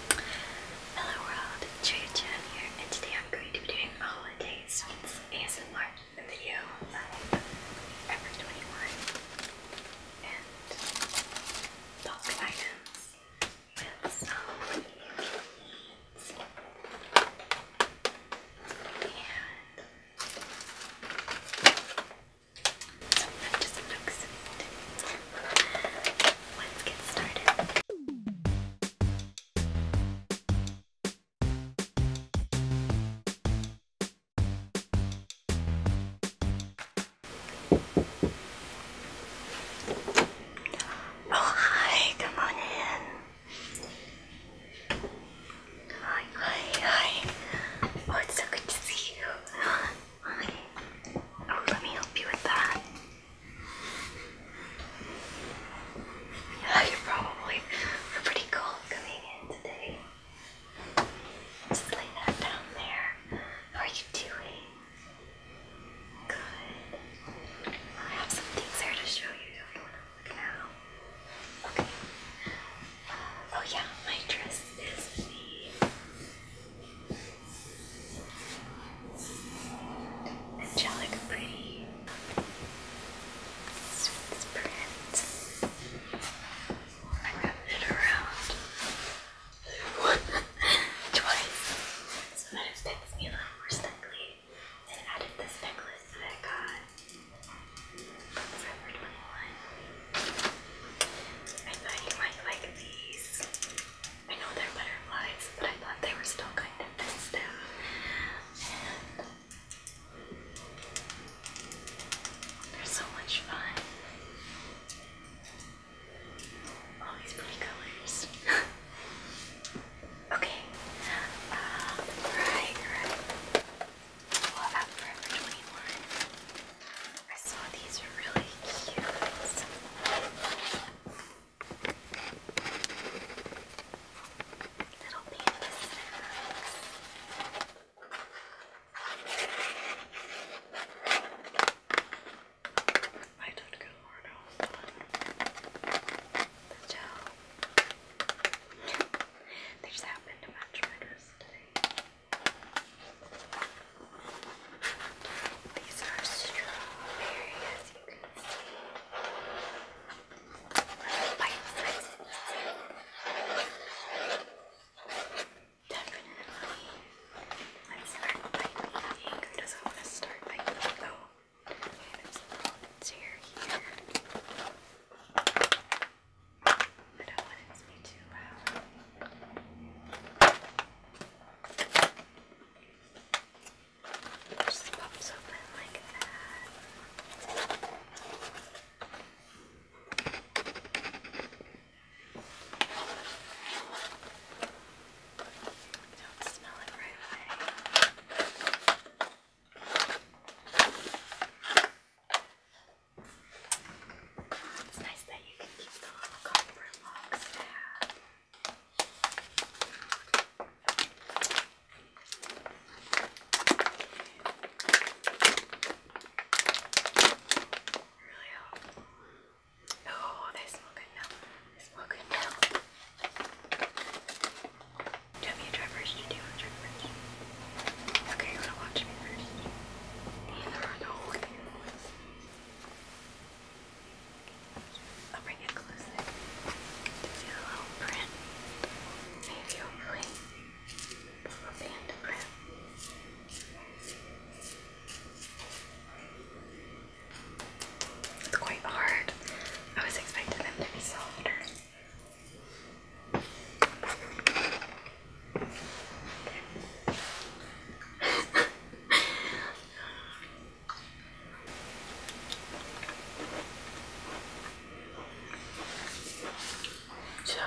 Hello world, Trichan here, and today I'm going to be doing a holiday sweets ASMR video of Ever 21 and bulk items with some meats and some just looks Let's get started. Oh, hi, come on in. Hi, hi, hi. Oh, so good to see you. Hi. Oh, let me help you with that. Yeah, you probably pretty cold coming in today. Just lay that down there. How are you doing? Good. I have some things here to show you if you want look now. Okay. Uh, oh yeah, my dress is the Angelica Pretty. It's this print. I got it around twice. So that it fits me a little more snugly. And added this necklace that I got from Forever 21. I thought you might like these. I know they're butterflies, but I thought they were still kind of festive. And they're so much fun. All these pretty colors. okay. Uh, right, right. Well, at Forever 21, I saw these really cute Little panda snacks. I did good, Lord. I was done. The gel. they just happened to match my dress today. These are strawberry, as you can see. Bite-sized Definitely. Let's start by eating. Who doesn't want to start by eating, though? Okay, there's a little tear here. I don't want it to be too loud. It just pops open like that. I don't smell it right away. It's nice that you can keep the little copper locks tab. Really helpful. Oh, they smell good now. They smell good now. Do you want me to try first? Or do you want to try first? Okay, you want to watch me first? Neither are the whole game. I'll bring it closer to see print. Maybe a band print. quite hard. I was expecting them to be softer. So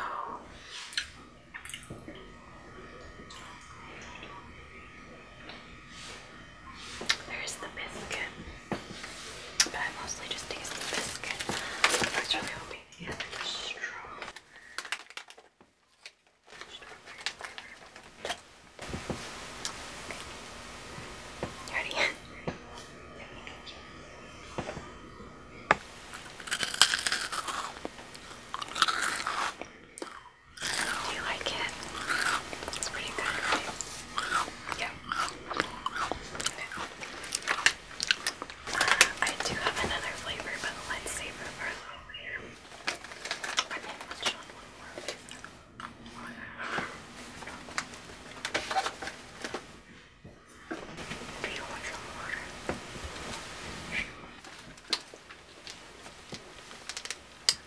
there's the biscuit, but I mostly just taste the biscuit. I was really hoping the other was strong ready? you like it? It's pretty good, Yeah. I do have another flavor, but let's save it for later. I mean, let's try one more. Do you want some water?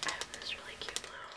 I have this really cute little.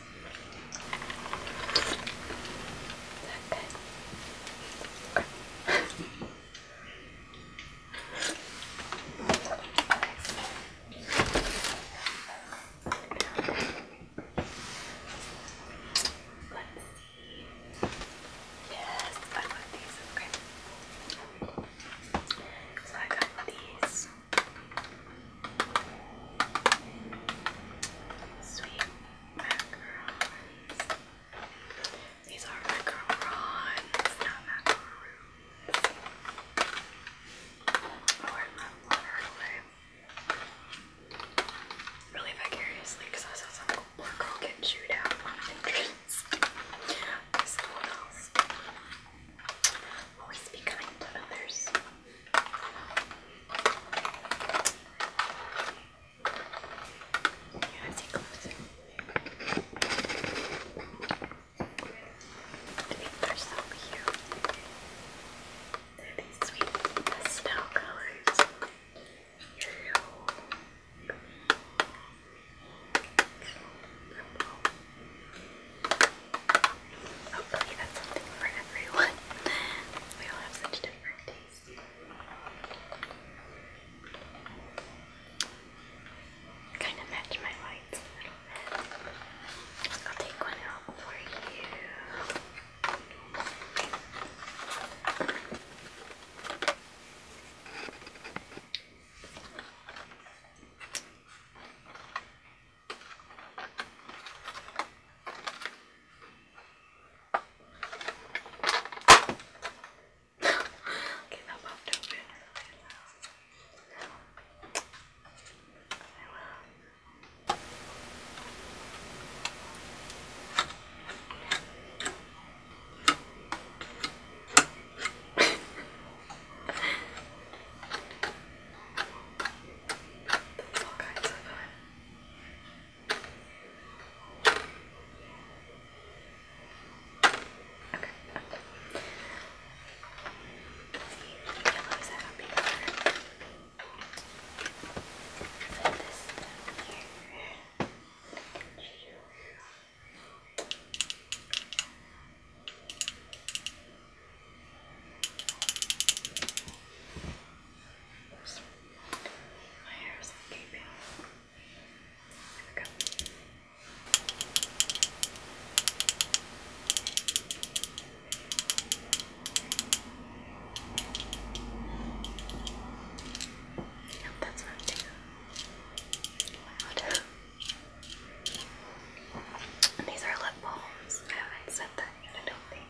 Okay. okay. Let's see. Yes, I love these. Okay. So I got these. Sweet macarons. These are macarons, not macaroons. Oh, I love water away. Really vicariously, because I saw some poor girl get chewed out on the entrance. always be kind to others. Yeah, take closer. I think they're so cute. They're these sweet pastel colors. True. Purple. Hopefully that's something for everyone. We all have such different tastes. Kind of match my lights a little bit. I'll take one out for you okay, that popped open. Okay, well. That's all kinds of fun. Okay. Yellow is happy color. Put this down here. Okay. My hair is keeping. Here we go. Yep, that's not too these are lip balms. I haven't said that yet, I don't think.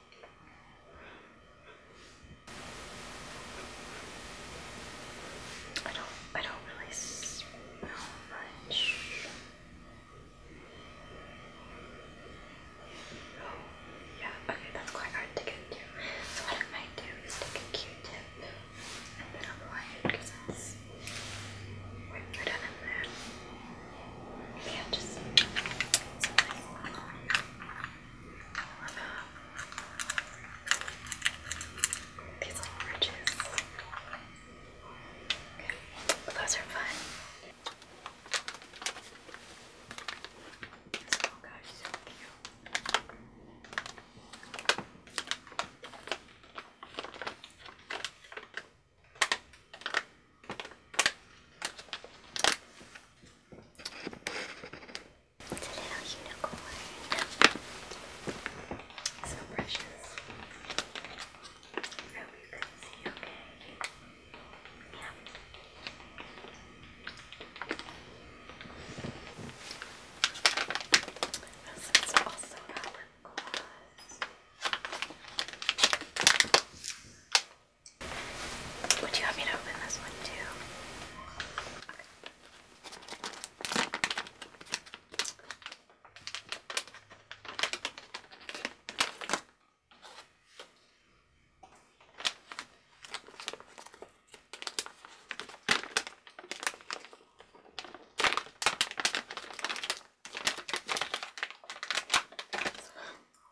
I don't I don't really smell much. Oh, yeah, okay, that's quite hard to get to. So what I might do is take a Q-tip and then apply it because it's way better than that. Yeah, just these little bridges. Okay. Well, those are fun. Oh gosh, so cute. It's a little unicorn. So precious. I hope you can see okay. Yeah. This is also our gloss. Would you have me to open this one too?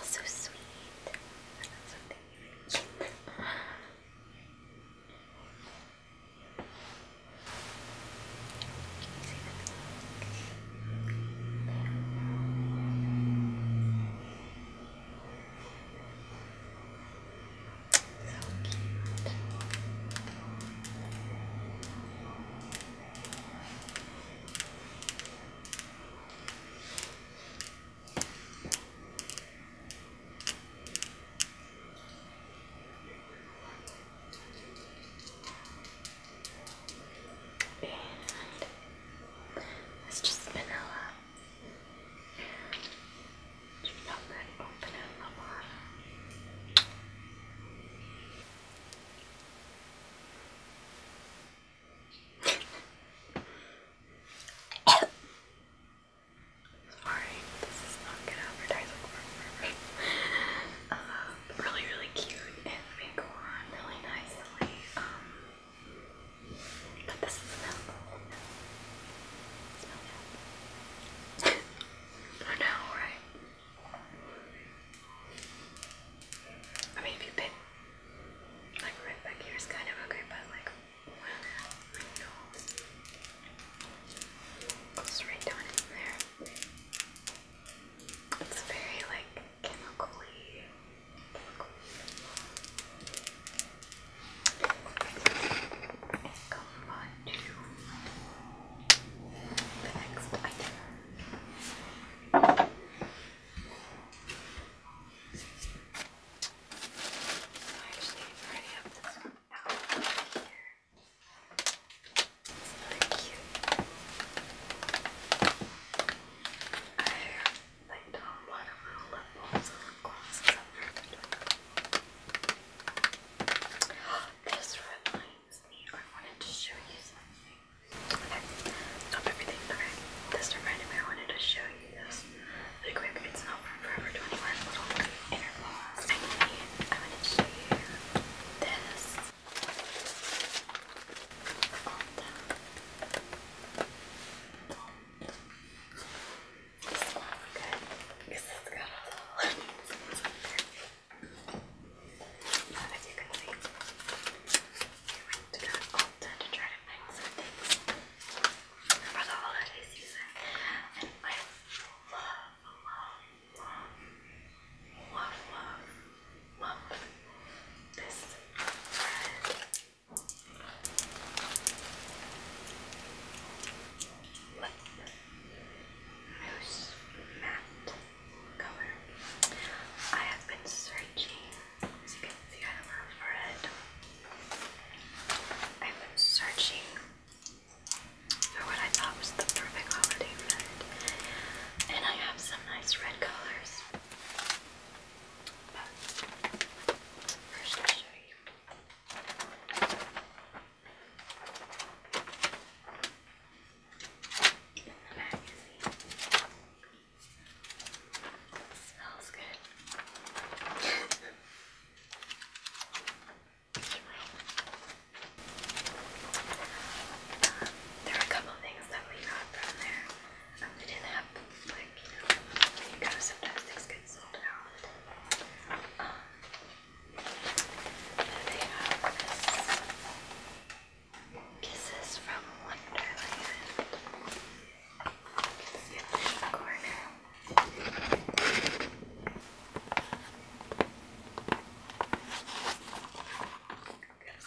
Also sweet. That's something you eat. So it's just vanilla. And you pop open it in the bottom. Sorry, this is not good advertising for forever. Uh, really, really cute, and they go on really nicely. Um, but this Smell I know, right? I mean, if you pick, like, right back here is kind of okay, but, like, I know. right down in there. It's very, like, chemically to the next item. So I actually already have this one out here. like a little lip balms and glosses up This reminds excuse me, I wanted to show you something. Okay, stop everything. Okay, this reminded me I wanted to show you this really quick. It's not from Forever 21, little inner gloss. I need, I wanted to show you this. This is good. This is good. But as you can see, we went to that altar to try to find some things for the holiday season. And I love, love, love, love, love, love this bread. Let's Mousse Matte Color. I have been searching, as you can see, I love red. I've been searching for what I thought was the perfect holiday red, and I have some nice red colors. But first, I'll show you the magazine. Smells good. um, there are a couple things that we got from there. Um, we didn't have, like, you know, you gotta sometimes things get sold out. Um, and they have this Kisses from Wonderland. In the corner. Goes in this little box. And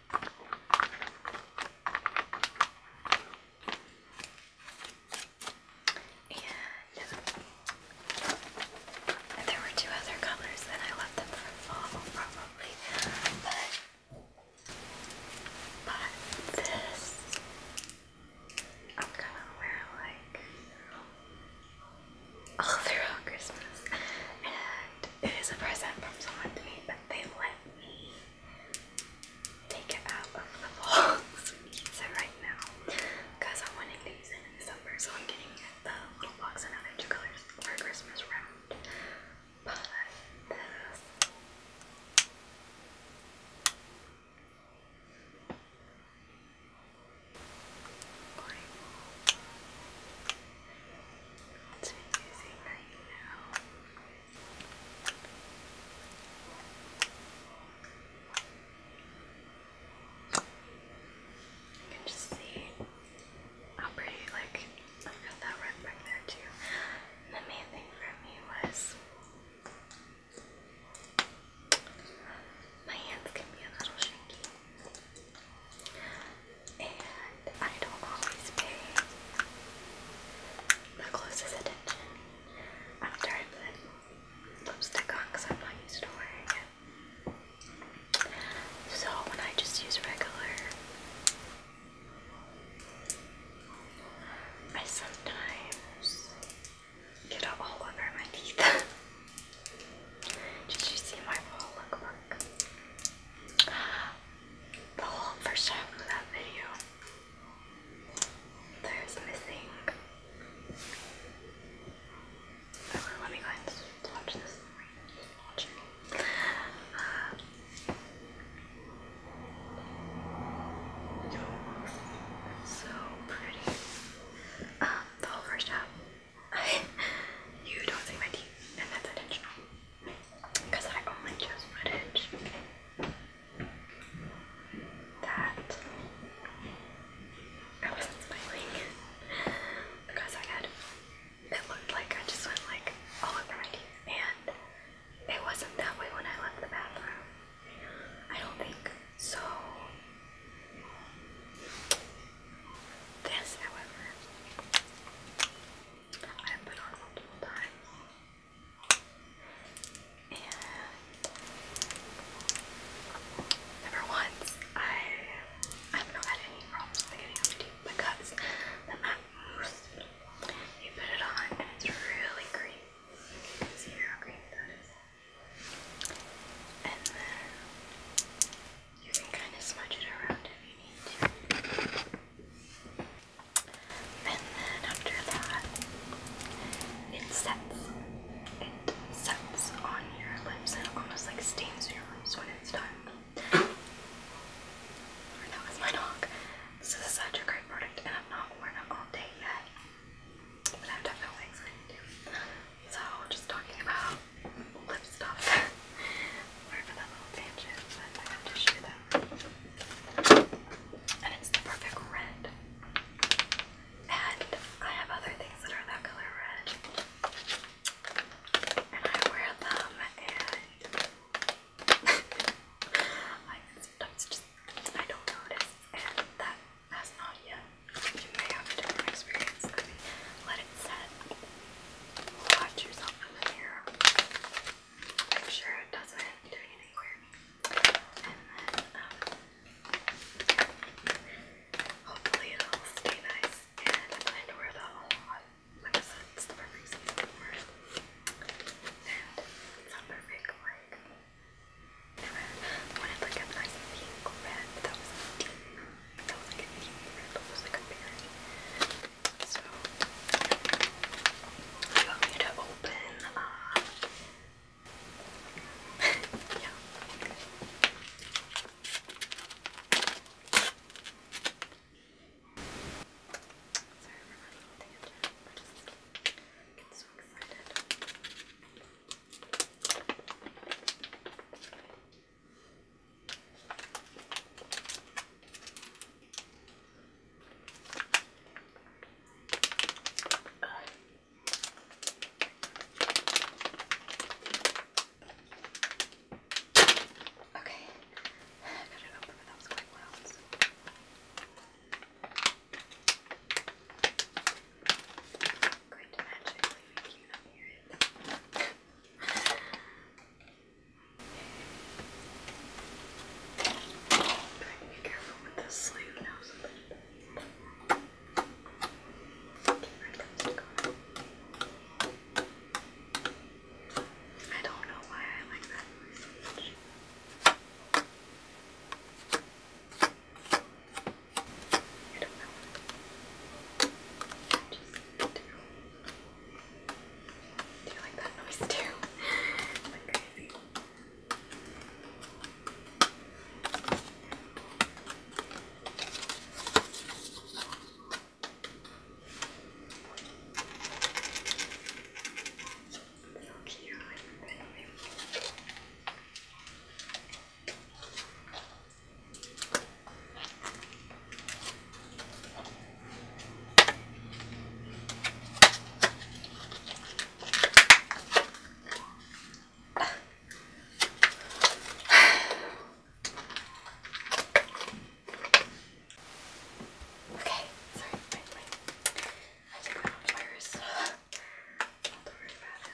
and there were two other colors, and I left them for fall probably. But, this, I'm gonna wear like all throughout Christmas. And it is a present from someone to me, but they let me take it out of the box. so right now, because I want it loose in December, so I'm getting the little box and other two colors for Christmas round. But this. It's easy right now. You can just see how pretty, like, i got that rug back there too. the main thing for me was my hands can be a little shaky. And I don't always pay the closest attention i after I put lipstick on because I'm not used to wearing it. So when I just use regular, I sometimes get it all over my teeth. Did you see my fall lookbook? the whole first half of that video. There's missing. let me go and watch this. Uh, so pretty. Um, the whole first half. you don't see my teeth, and that's intentional because I only chose footage that I wasn't smiling because I had it looked like I just went like all over my teeth and it wasn't that way when I left the bathroom. I don't think so. This, however, I have put on multiple times. And never once I have not any problems with getting on because the matte mousse you put it on and it's really creamy. And then you can kind of smudge it around if you need to. And then after that, it sets. It sets on your lips and almost like stains your lips when it's done. that was my dog. this is such a great product, and I've not worn it all day yet, but I'm definitely excited So just talking about lip stuff. Sorry for little tangent, I have to share that. And it's the perfect red. And I have other things that are that color red. And I wear them and I sometimes just I don't notice and that has not yet. You may have a different experience. let it set. Watch yourself in the mirror make sure it doesn't do anywhere. And then, um, hopefully it'll stay nice and I know where the whole like I said, it's the perfect season for it. And it's not perfect, like, I like a nice pink red that was deep. That was like a deep red, that was like a berry. So do you to open? Uh, yeah. Sorry for running a I get so excited. Okay, I got it open, but that was quite loud. So. Going to magically make you not hear it. Be careful with the sleeve now. I don't know why I like that noise so much. I don't know. I just do. Do you like that noise too? like crazy. So cute. Okay, sorry, wait, wait. I think my own virus. Don't worry about it.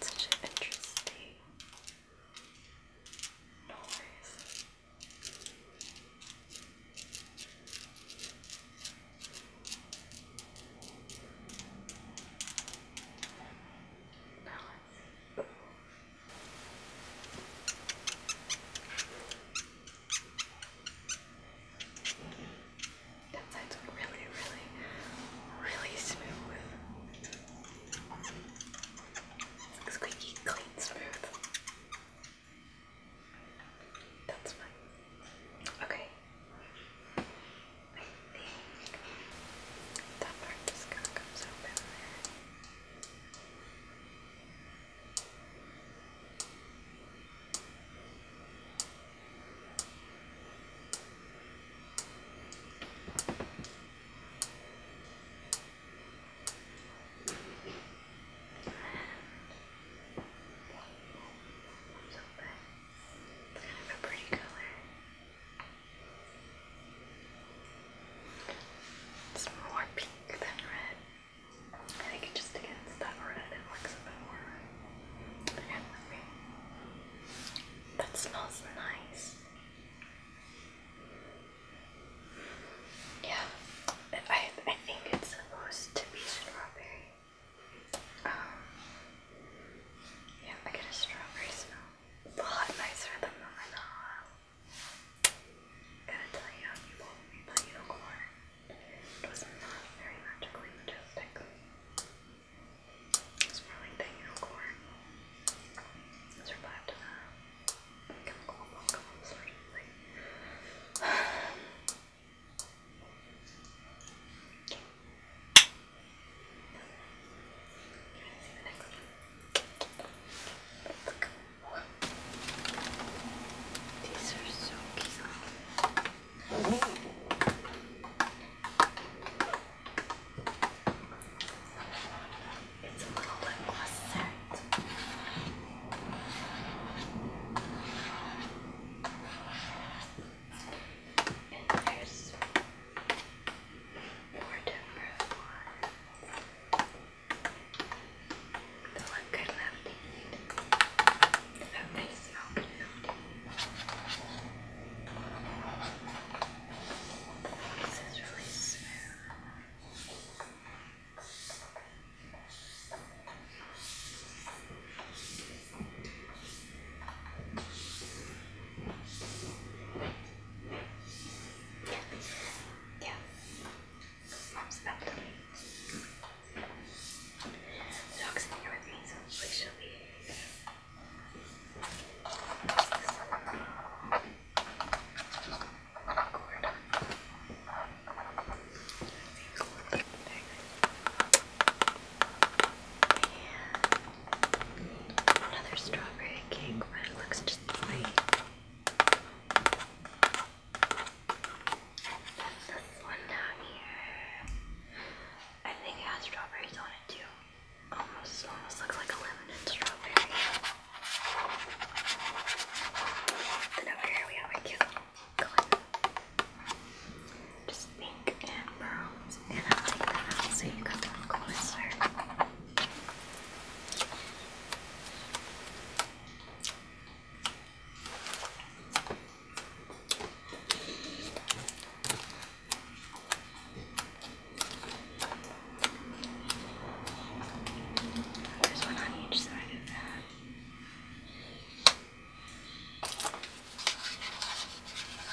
Such an interesting noise. Now let's that side's really, really, really smooth. squeaky, clean, smooth. That's fine. Okay. I that part just kind of comes open it's kind more pink than red. I think it just against that red it looks a bit more that smells nice. Yeah, I, I think it's supposed to be strawberry. Um, yeah, I get a strawberry smell. It's nicer than the vanilla. Um, gotta tell you, people made that unicorn. It was not very magically majestic. Smelling the unicorn. Survived the chemical amalgam sort of thing. okay. Trying to see the next one. These are so cute. It's a little lip gloss set. And there's more different ones. The one kind of left. Okay. This is really smooth. Yeah, mom's about to leave. Dog's in here with me, so we should leave. And another strawberry cake, but it looks just white. Then this one down here. I think it has strawberries on it too. Almost, almost looks like a lemon and strawberry. Then over here we have a cute Just pink and browns. And I'll take them out so you can look closer. There's one on each side of that. I think I see that.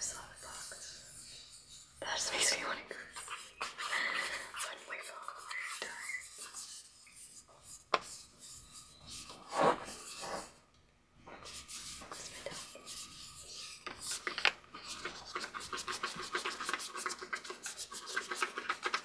Softbox. That just makes me want to I my phone. It's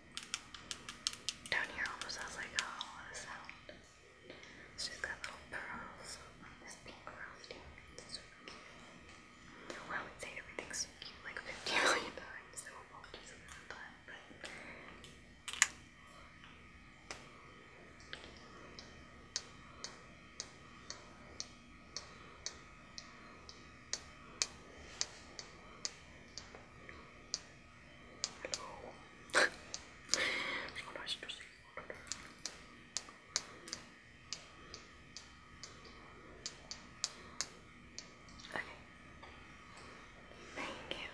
Down here almost sounds like a hollow sound. She's got little pearls on this pink frosting. It's I would say everything's cute like 50 million times, so apologies on that time, but. Hello. so nice to see you. Okay. Thank you.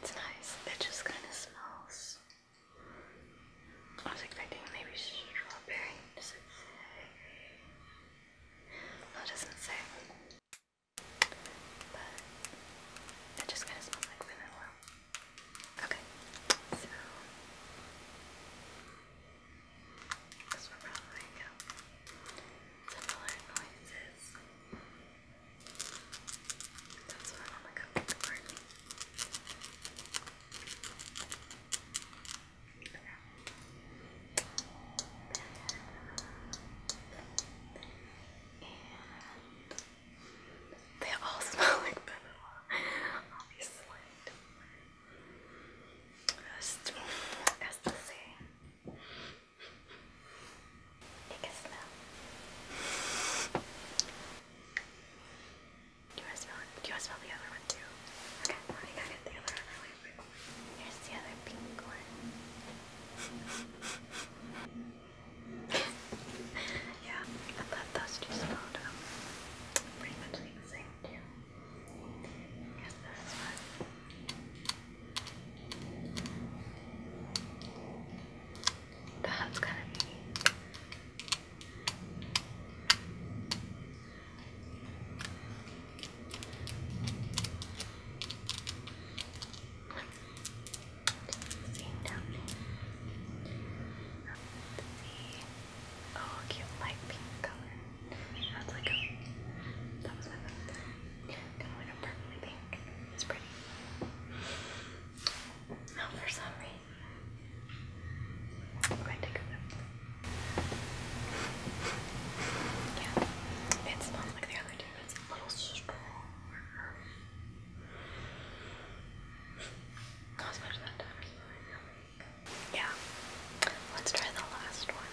It's nice. It just kind of smells. I was expecting maybe strawberry. Well, it doesn't say, but it just kind of smells like vanilla. Okay, so this will probably go similar noises. That's what I'm to go for they all smell like vanilla, obviously. Just as the same. Take a smell. you want smell you smell the other one too? Okay, I got The other one Here's the other pink one. yeah, I those two smelled pretty much the same too. Here's this one. That's kind of neat. Oh, cute light pink color. That's like a. That was my favorite. Kind of like a purpley pink. It's pretty. Now, for some reason, I'm going take a nip. Yeah, it's not like the other two, it's a little stronger. Not as much that time, Yeah, let's try the last one.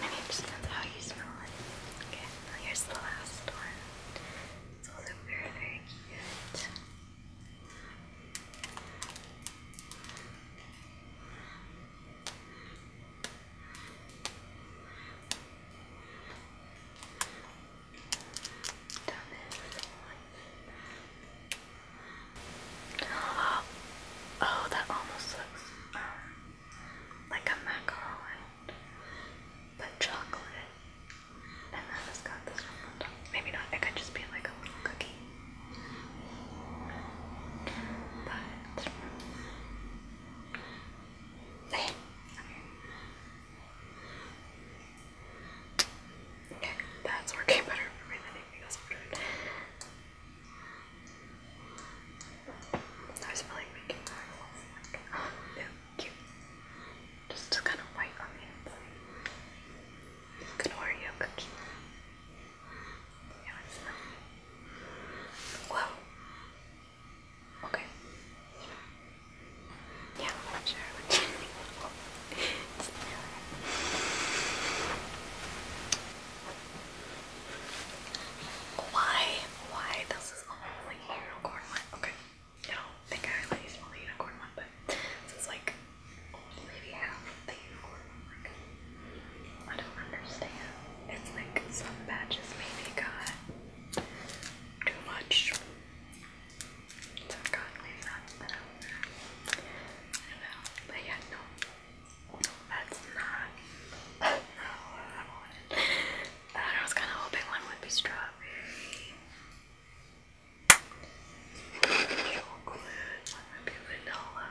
Maybe it just depends how you smell Okay, here's the last one. It's also very, very cute. Oh, oh, that almost looks um, like a macaron, but chocolate. And then it's got this one on top. Maybe not. It could just be like a little cookie. But okay. that's working better i was feeling making noises like, oh, cute. Just kind of white on the I'm cookie. Yeah, it's not. Whoa. Okay. Yeah, I'm sure Why? Why? This is only unicorn one. Okay. I don't think I really smell the unicorn one, but this is like maybe half of the unicorn mark. I don't understand. It's like some badges maybe got too much. So i not I don't know. But yeah, no. That's not. No, I wanted. I was kind of hoping one would be strawberry chocolate, one would vanilla,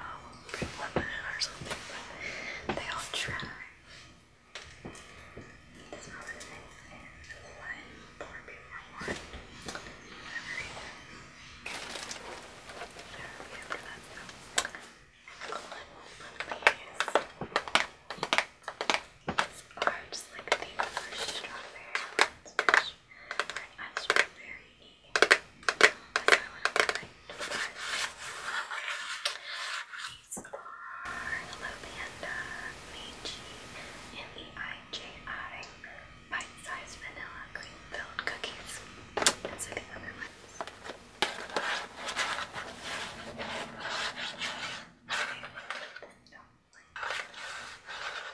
one lemon or something, but they all try. This one is one, four people one, whatever it is. I don't remember that though. Excellent. These are just like the first strawberry ones, which eyes were very neat. I went These are Hello Panda, Meiji, bite-sized vanilla cream-filled cookies. And so the other ones. Okay. No. Like,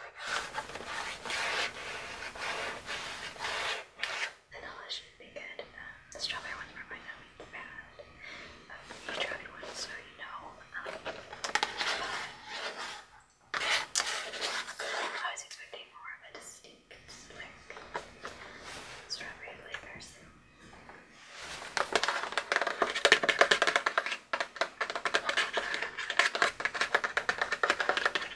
the vanilla should be good. Um, the strawberry ones were by no means bad. Um, you tried one, so you know. Um, but I was expecting more of a distinct, like, strawberry flavor, so. Sorry, I was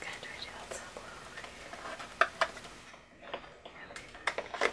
gonna try to do that so long. Remember that.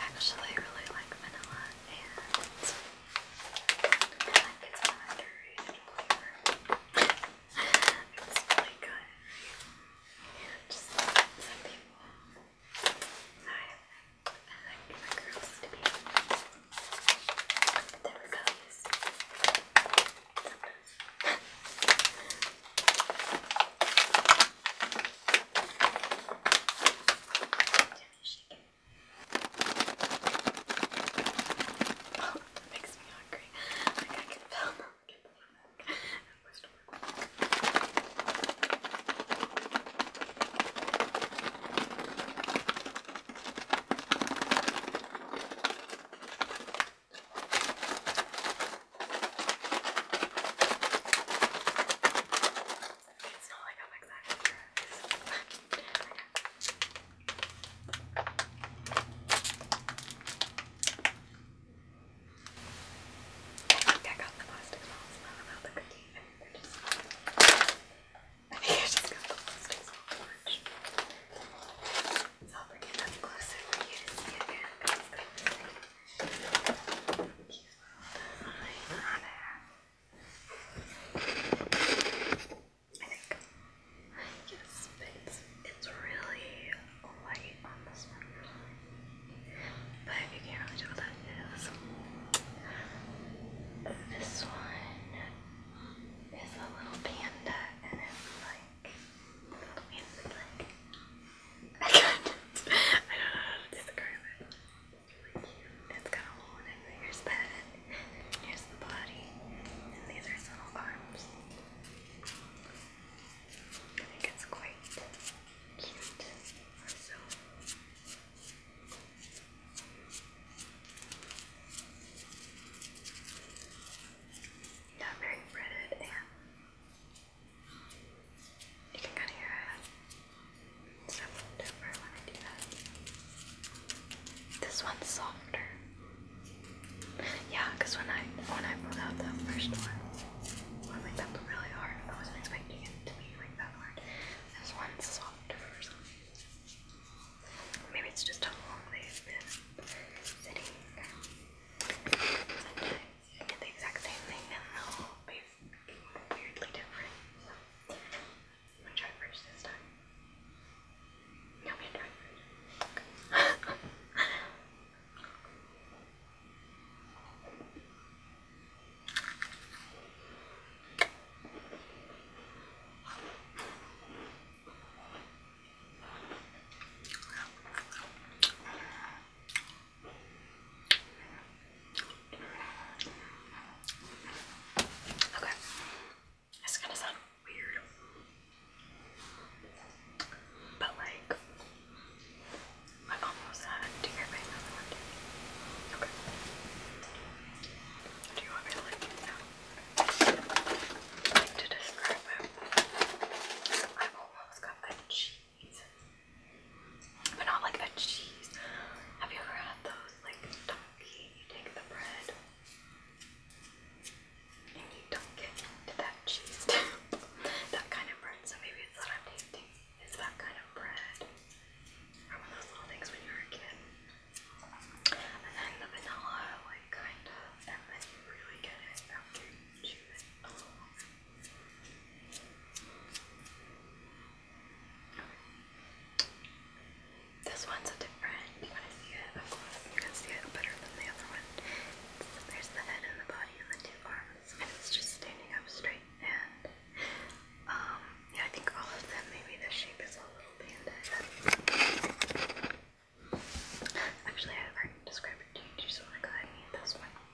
Actually, I really like vanilla and I like it's an underrated flavor. it's really good. Yeah, just some people. I, like my girls to be they're Oh, that makes me hungry. Like I can feel them. It's not like I'm excited for this. I think I got the plastic sauce, not about the cookie. I think I just, I think I just got the plastic sauce. So I'll bring it up closer for you to see again. I yes, it's it's really light um, on this one, but you can't really tell what that is. This one is a little panda, and it's like little panda, like I can't. don't know how to describe it. It's got a hole Here's the head. Here's the body. And these are its little arms. I think it's quite cute. So. Not very breaded you can kind of hear it. Stop over when I do that. This one's softer. Yeah, because when I when I pulled out the first one, well, like that was really hard. I wasn't expecting it to be like that hard. This one's softer Maybe it's just how long they've been sitting. I did the exact same thing and the whole face weirdly different. So, I'm gonna try first this time. No, I'm gonna try first. Okay, it's gonna sound weird, but like, I almost had it. hear my mouth? Okay. Do you want me to like To describe it, I've almost got a cheese. But not like a cheese. Have you ever had those like donkey? You take the bread and you dunk it into that cheese that kind of bread. So maybe it's what I'm tasting. It's that kind of bread. one of those little things when you were a kid. And then the vanilla, like kind of, and then really get it after you this one's a different when I see it, of course, you can see it better than the other one. there's the head and the body and the two arms, it's just standing up straight. And um, yeah, I think all of them, maybe the shape is a little panda Actually, i already described it to you, so I'm gonna go ahead and eat this one.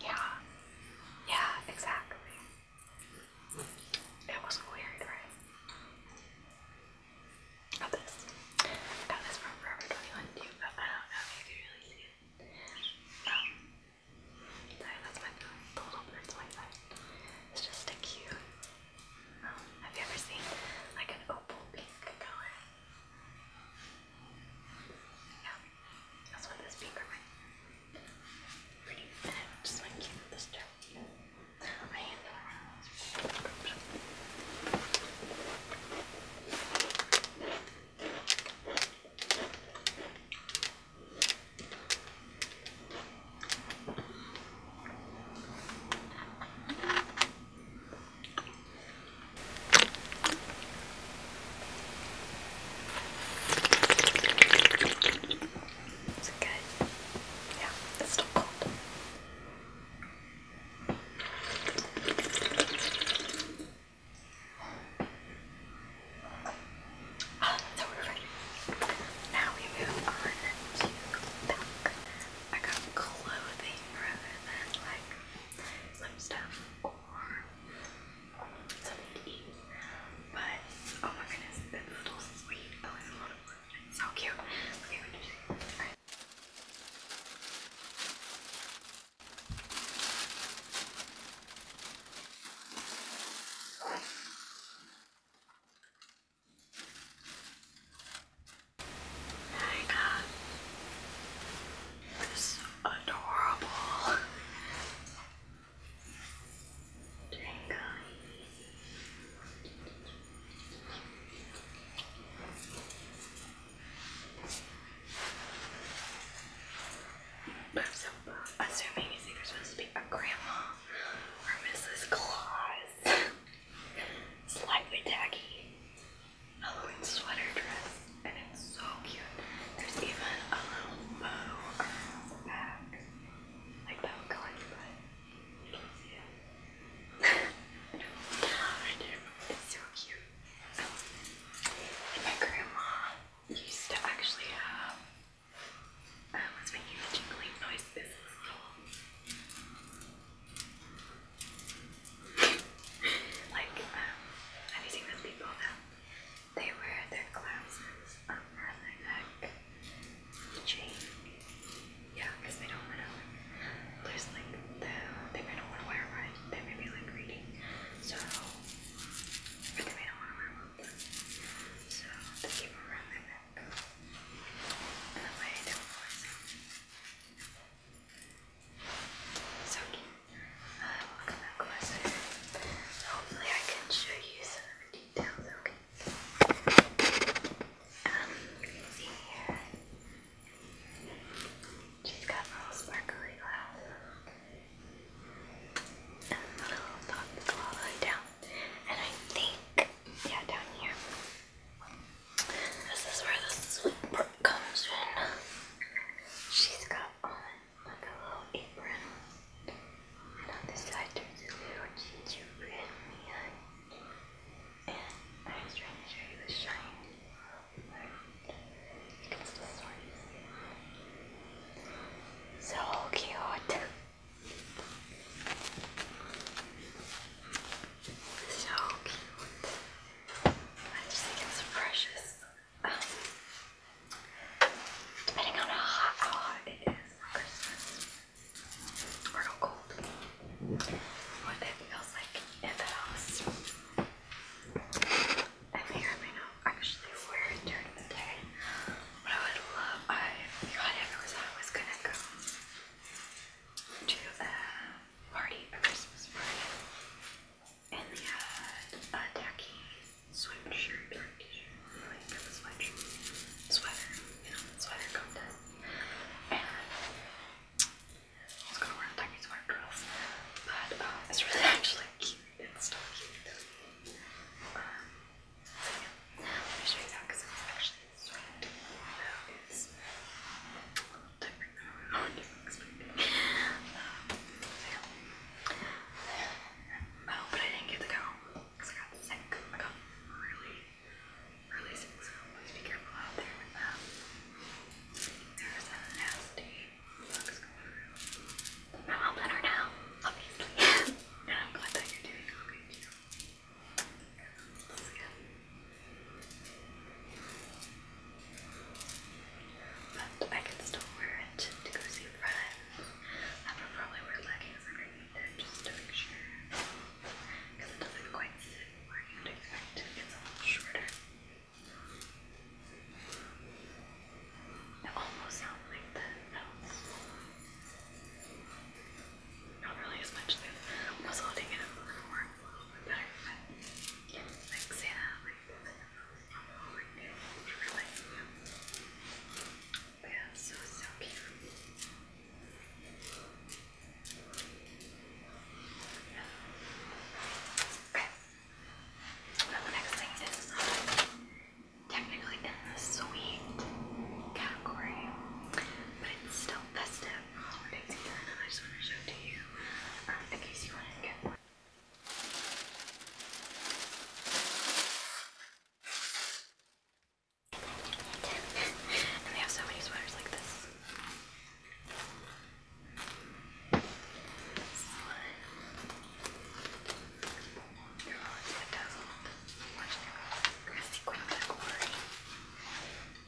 Yeah. Yeah, exactly. It was weird, right? Got this. got this from Forever 21 but I don't know if you can really see it. Um, sorry, that's my phone. The little bird's my phone. It's just a cute um, have you ever seen like an opal pink color? Yeah, that's what this pink reminds me. Pretty, and I just like keep this too. I am it's okay. Yeah, it's still cold. Oh, so we're ready. Now we move on to back. I got clothing rather than like some stuff or something to eat. But oh my goodness, that little sweet oh it's a so cute. Okay, we just alright. I got this adorable Jenga. But I'm so assuming it's there's supposed to be a grandma or Mrs. Claus slightly tacky Halloween sweater dress, and it's so cute. There's even a bow around the back, like that would You can see it. It's so cute. And my grandma used to actually have. I uh, was making the jingling noise. This is little like um, anything with people that they wear their glasses around their neck chain. they don't want to. There's like the they may not want to wear one. They may be like reading, so they may not want to wear one. So they keep them around their neck. And that way they don't so uh, um, welcome back, Wesley. Hopefully, I can show you some of details. Okay. Um, see here. She's got little sparkly glasses a little top all down. And I think, yeah, down here. This is where the sweet part comes in. She's got on like a little apron. And on the side there's a little gingerbread man. And I was trying to show you the shiny You can still sort of So cute. So cute. I just think it's precious. Um, depending on how hot, how hot it is Or how cold. What it feels like in the house. I may may not actually wear it during the day. But I would love I God, I was I gonna go to a party, a Christmas party, and they had a tacky sweatshirt like a sweatshirt, sweater, you know, sweater contest, and I was gonna wear a tacky sweater dress, but um, it's really actually cute, it's still cute. Um, let me show you that because it's actually is different than what you expected. Um, so yeah. Oh, but I didn't get to go because I got sick. I got really, really sick, so please be careful out there with that. There's a nasty bugs going through. I'm all better now, obviously. and I'm glad that you're doing okay too. But I can still wear it to go see friends. I probably wear leggings underneath it just to make sure. Because it doesn't quite sit where you'd expect It's a little shorter. It almost sounds like the bells not really as much as I was holding it before. a little bit better, but yeah, like say that, like, like really, yeah. But yeah, so, cute. Okay. Now the next thing is um, technically in the sweet category, but it's still festive holiday design that I just want to show to you um, in case you want to get one. and we have so many sweaters like this. This one. They're all in the window. Watch them. Grassy quick, like worry.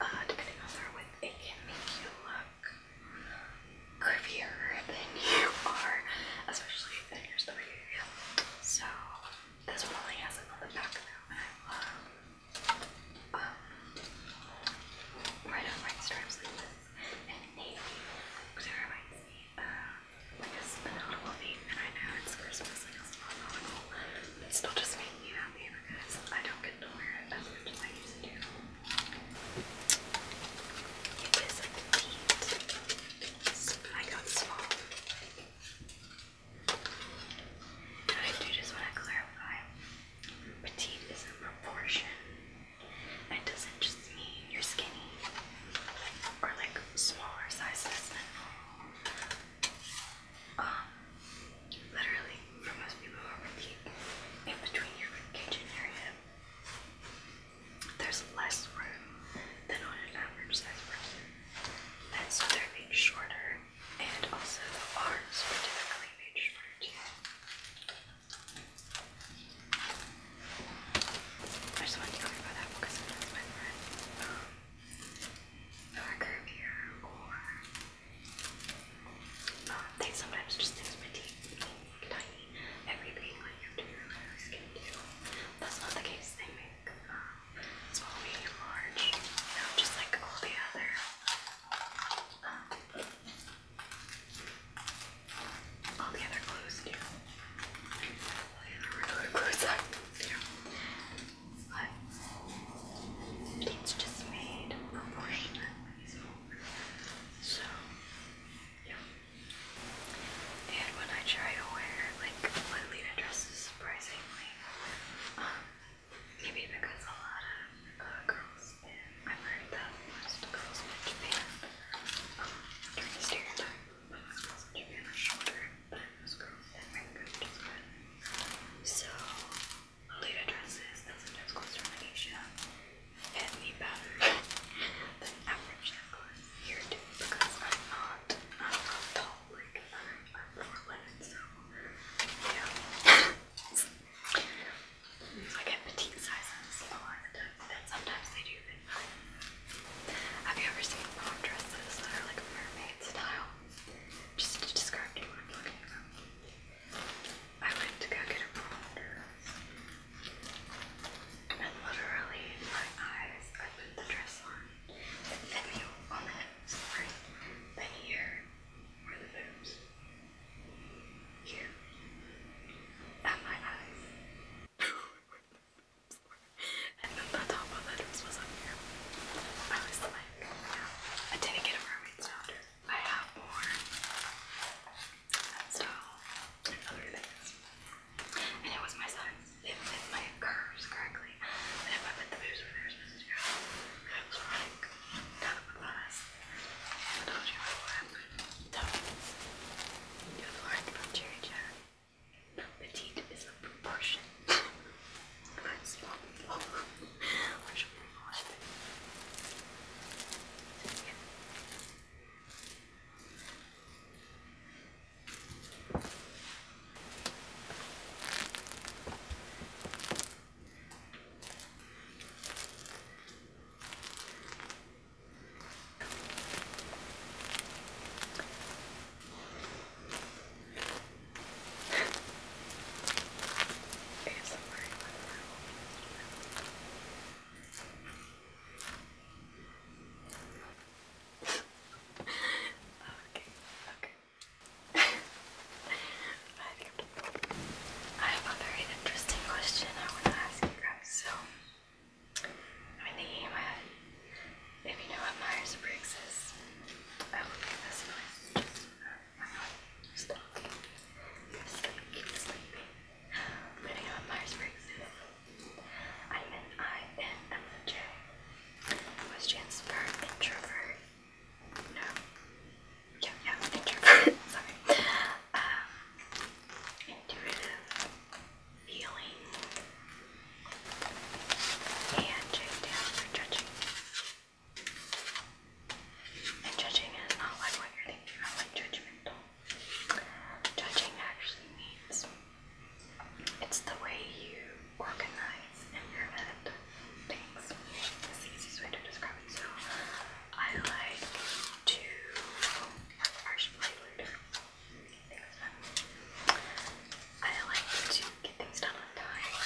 Uh, depending on their width, it can make you look curvier than you are, especially if your stomach area. So this one only has it on the back though, I love um, red and stripes like this, and navy, which reminds me of like a nautical theme, and I know it's Christmas, like it's not it's still just me you because I don't get to wear it as much as I used to. It is a petite. I got small. And I do just want to clarify. Petite is a proportion. It doesn't just mean you're skinny or like smaller sizes than um, literally most people are with in between your kitchen area, there's less room than on an average size person. And so they're being shorter and also the arms were typically made shorter too. I just wanted to clarify that because sometimes my friends um, are curvier or they sometimes just use my tiny everything like your skin too. That's not the case. They make um, small, medium, large, you just like all the other. Um, all the other clues do. All regular clues I do it's just made proportionately. So, yeah. And when I try to wear like Lolita dresses, surprisingly, um, maybe because a lot of uh, girls I've heard that um, most girls in Japan are shorter than most girls in America, So, late addresses that sometimes cause termination, and the pattern that average here too, because I'm not, I'm not tall, like, I'm, I'm four so, yeah. I get petite sizes a the time, and sometimes they do fit fine. Have you ever seen prom dresses that are like mermaid style? Just to describe what I'm talking about. I went to go get a barometer, and then literally my eyes, I put the dress on, it fit on the hips, right, here, where the boobs, here, at my eyes, and then the top of the dress was up here. I was like, I didn't get a mermaid's daughter. I have more. And and other things. And it was my size. It fit my curves correctly. if I put the boobs where they were supposed to go, I was running down I told you what happened. So, you learned from Cherry Cherry. Petite is a proportion. That's awful. I should be watching okay, okay. I have a very interesting question I want to ask you guys. So, I'm thinking uh, if you know what Myers Briggs is, I will leave this noise. Stop. Sleep, keep sleeping. I'm going I'm an INFJ. What stands introvert? No. Yeah, yeah, introvert. Sorry. Um, intuitive, feeling, and just for judging. And judging is not like what you're thinking about, like judgmental. Judging actually means it's the way you organize in your head things. It's the easiest way to describe it. So I like to harsh flavored things. I like to get things done on time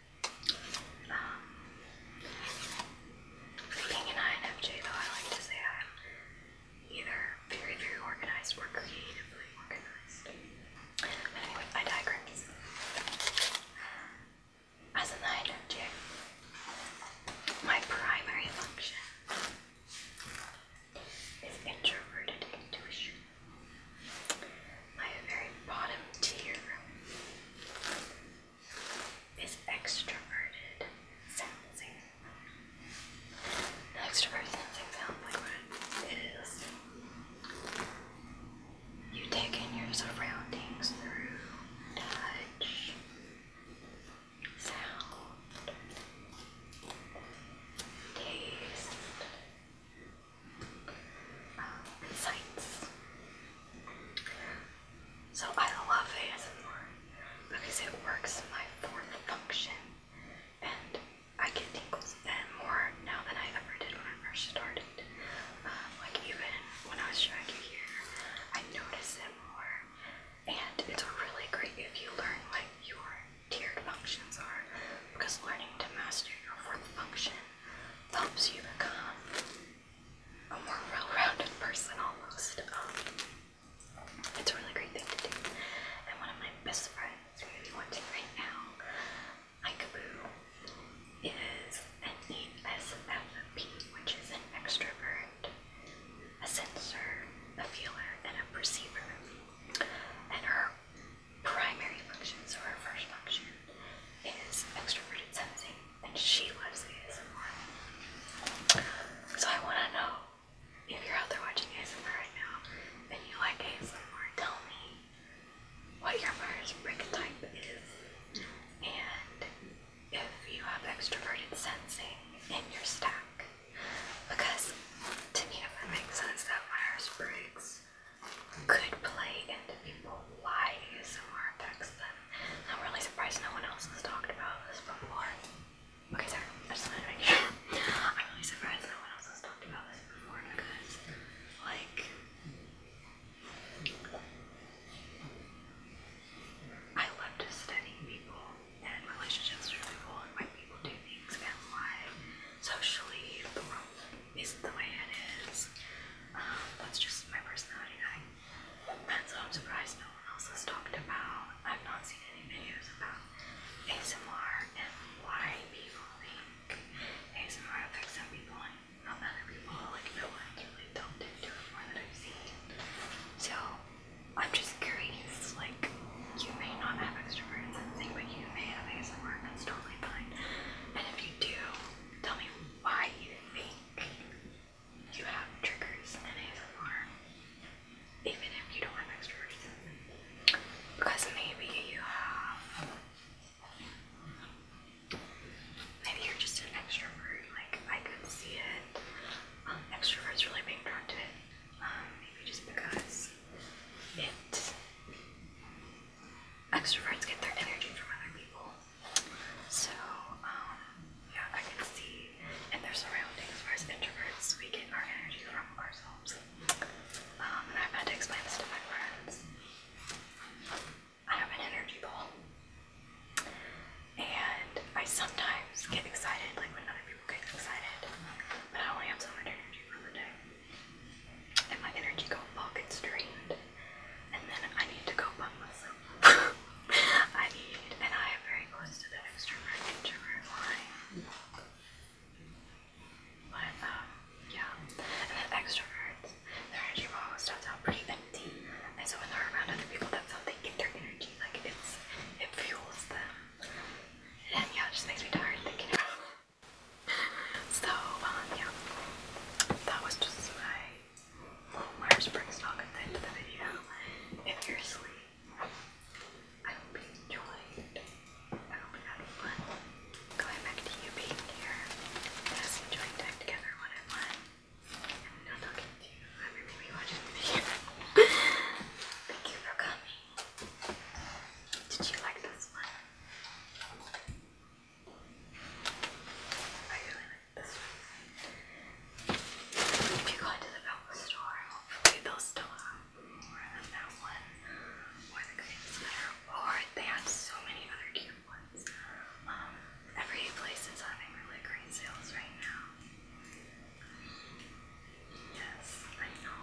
being um, an INFJ, though, I like to say I'm either very, very organized or creatively organized. Anyway, I digress. As an INFJ, my primary function is introverted intuition my very bottom tier is extroverted sensing. extroverted sensing sounds like what You take in your surroundings through touch, sound, taste, um, So I love ASMR because it works my fourth function and I get tingles and more now than I ever did when I first started. Um, like even when I was trying to here, I notice it more and it's really great if you learn like your tiered functions are because learning to master your fourth function helps you become a more well-rounded person almost. Um, it's a really great thing to do. And one of my best friends who is watching right now, Ikaboo, is an ESFP, which is an extrovert, a sensor, a feeler, and a perceiver. And her primary functions, or her first function, is extroverted sensing, and she loves ASMR. So I want to know if you're out there watching ASMR right now and you like ASMR, tell me what your Mars brick type is, and if you have extroverted sensing in your stack. Because to me, it makes sense that Myers Briggs could play into people why ASMR affects them. I'm really surprised no one else has talked about this before. Okay, sorry, I just wanted to make sure. I'm really surprised no one else has talked about this before because, like, I love to study people and relationships with people and why people do things and why socially isn't the way it is. Um, that's just my personality. I, and so I'm surprised no one else has talked about. I've not seen any videos about ASMR and why people think ASMR affects some people and not other people. Like no one's really delved into it that I've seen. So I'm just curious. Like you may not have extrovert sensing, but you may have ASMR. and That's totally fine. And if you do, tell me why you think you have triggers and ASMR, even if you don't have extroverts. Because maybe you have. Maybe you're just an extrovert. Like I could see it. Um, extroverts really being drawn to it. Um, maybe just because it extroverts get their energy from other people. So, um, yeah, I can see in their surroundings, whereas introverts, we get our energy from ourselves. Um, and I've had to explain this to my friends. I have an energy ball. And I sometimes get excited, like when other people get excited, but I only have so much energy for the day and my energy got fucking drained. And then I need to go bump myself. I need, and I am very close to the extrovert introvert line. But um, yeah, and then extroverts, their energy ball starts out pretty empty, and so when they're around other people, that's how they get their energy. Like it's, it fuels them. And yeah, it just makes me tired thinking about. It. So, um, yeah, that was just my Myers Briggs talk at the end of the video. If you're asleep, I hope you enjoyed. I hope you had fun. Going back to you being here, just enjoying time together one on one, not talking to you. I mean, maybe watching the video. Thank you for coming. Did you like this one? I really like this one. If you go into the Velcro store, hopefully they'll still have more than that one, or the green is or they had so many other cute ones. Um, every place is having really great sales right now. Yes, I know.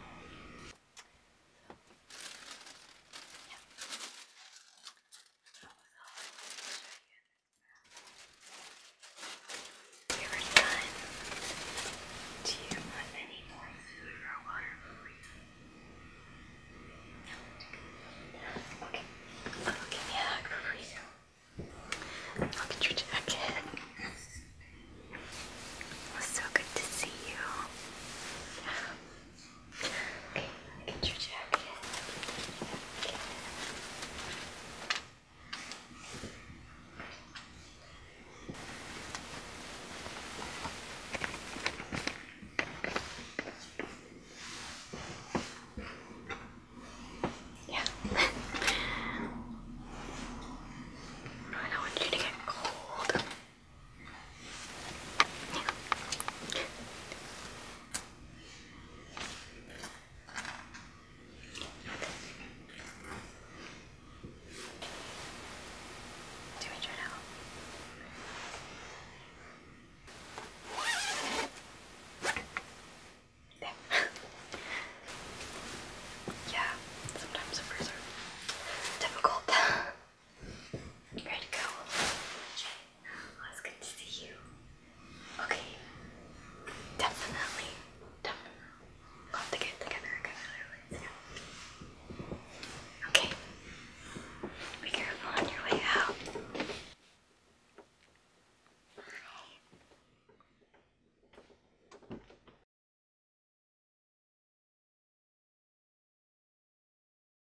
You're done. Do you want any more food or water for No. Okay. I'll give me a hug for Look at your jacket. It so good to see you. Okay, get your jacket. Yeah. I don't want you to get cold. Do you try now? There. yeah, sometimes the first difficult. Great girl. Oh, it's good to see you. Okay. Definitely. Definitely. We'll have to get Okay. Be careful on your way out.